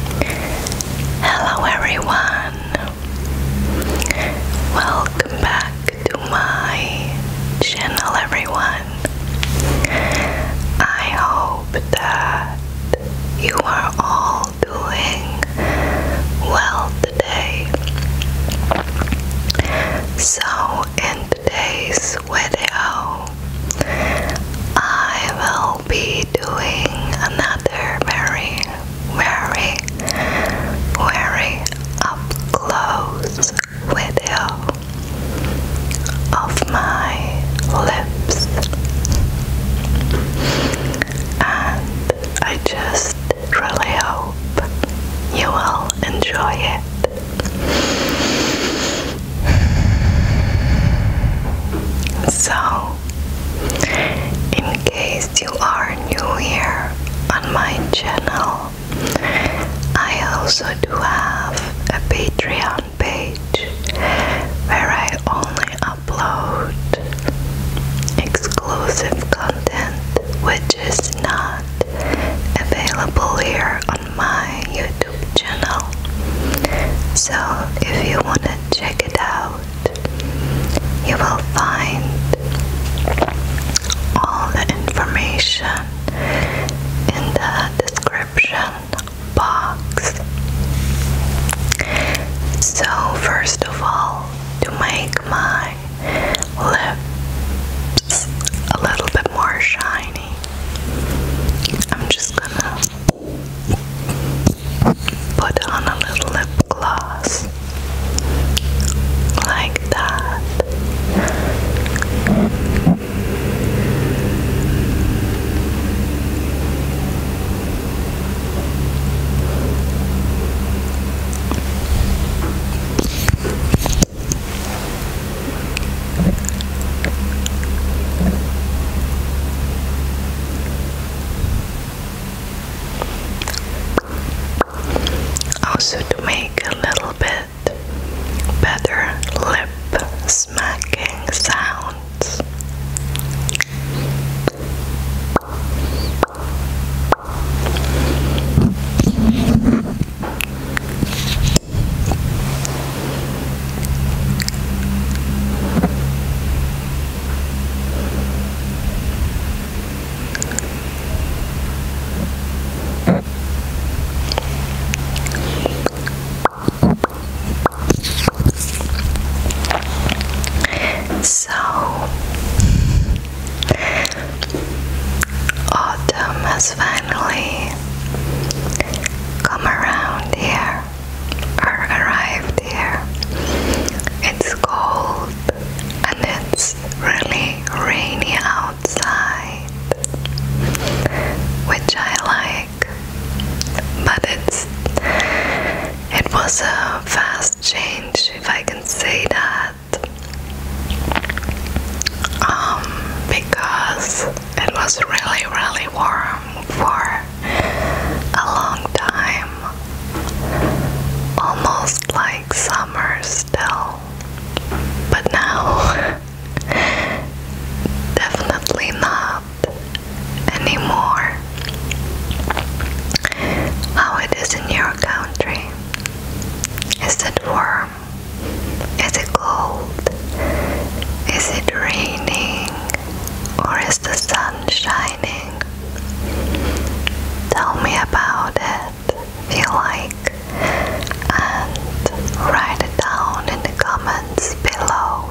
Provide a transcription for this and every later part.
Hello everyone! Welcome back to my channel everyone. I hope that you are all doing well today. So in today's video I will be doing another very, very, very up close video of my lips, and I just really hope you will enjoy it. So, in case you are new here on my channel, I also do have a Patreon page where I only upload exclusive content which is not available here on my YouTube channel so if you want to check it out you will find all the information in the description box so first of all to make my lips a little bit more shiny I'm just gonna Put on a little lip gloss like that. Also, to make a little bit better lip smacking sounds. So, autumn has finally come around here are arrived here. It's cold and it's really rainy outside, which I like. But it's it was a fast change, if I can say that. Um, because it was really, really warm farm for a long time, almost like summer still, but now definitely not anymore. How it is in your country? Is it warm? Is it cold? Is it raining or is the sun shining? Tell me about it if you like and write it down in the comments below.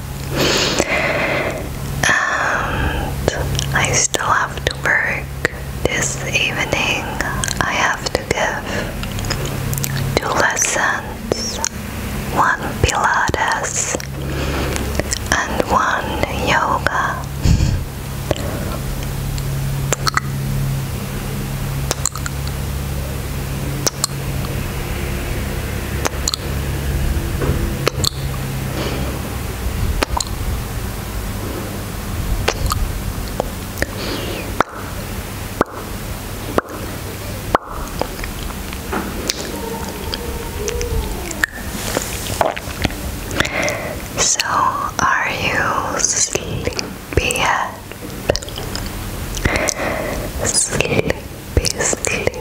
And I still have to work this evening. I have to give two lessons one Pilates and one yoga. So, are you sleepy Sleepy, sleepy,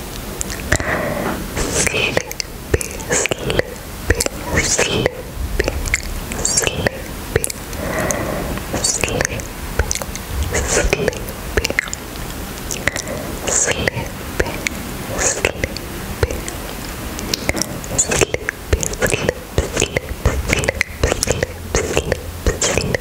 sleepy, sleepy, sleepy, sleepy, sleepy, sleepy, sleepy, sleepy. Sleep, sleep, sleep, sleep, sleep, sleep, sleep, sleep,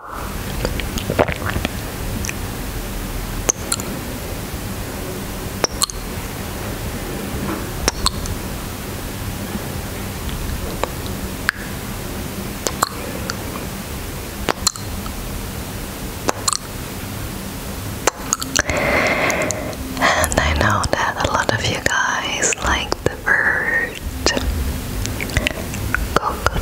And I know that a lot of you guys like the bird coconut.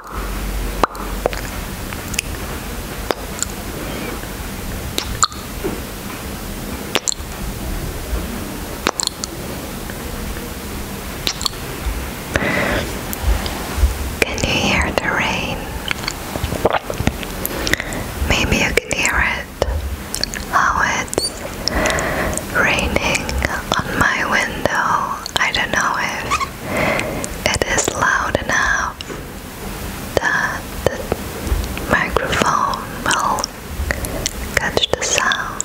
Can you hear the rain? Maybe you can hear it. How it's raining on my window. I don't know if it is loud enough that the microphone will catch the sound.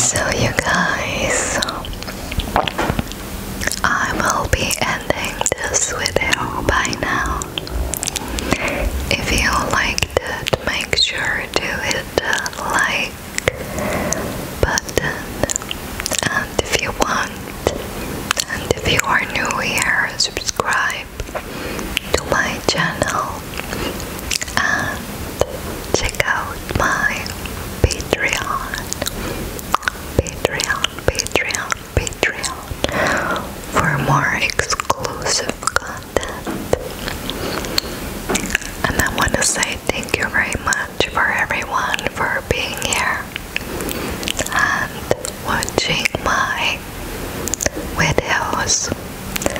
So, you guys, I will be ending this video by now. If you liked it, make sure to hit the like button. And if you want, and if you are new here, subscribe to my channel and check out my Patreon. Patreon, Patreon, Patreon for more exclusive content. And I want to say thank you very much for everyone for being here and watching my videos.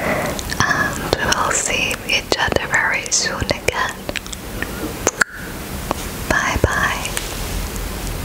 And we'll see each other very soon again. Bye bye.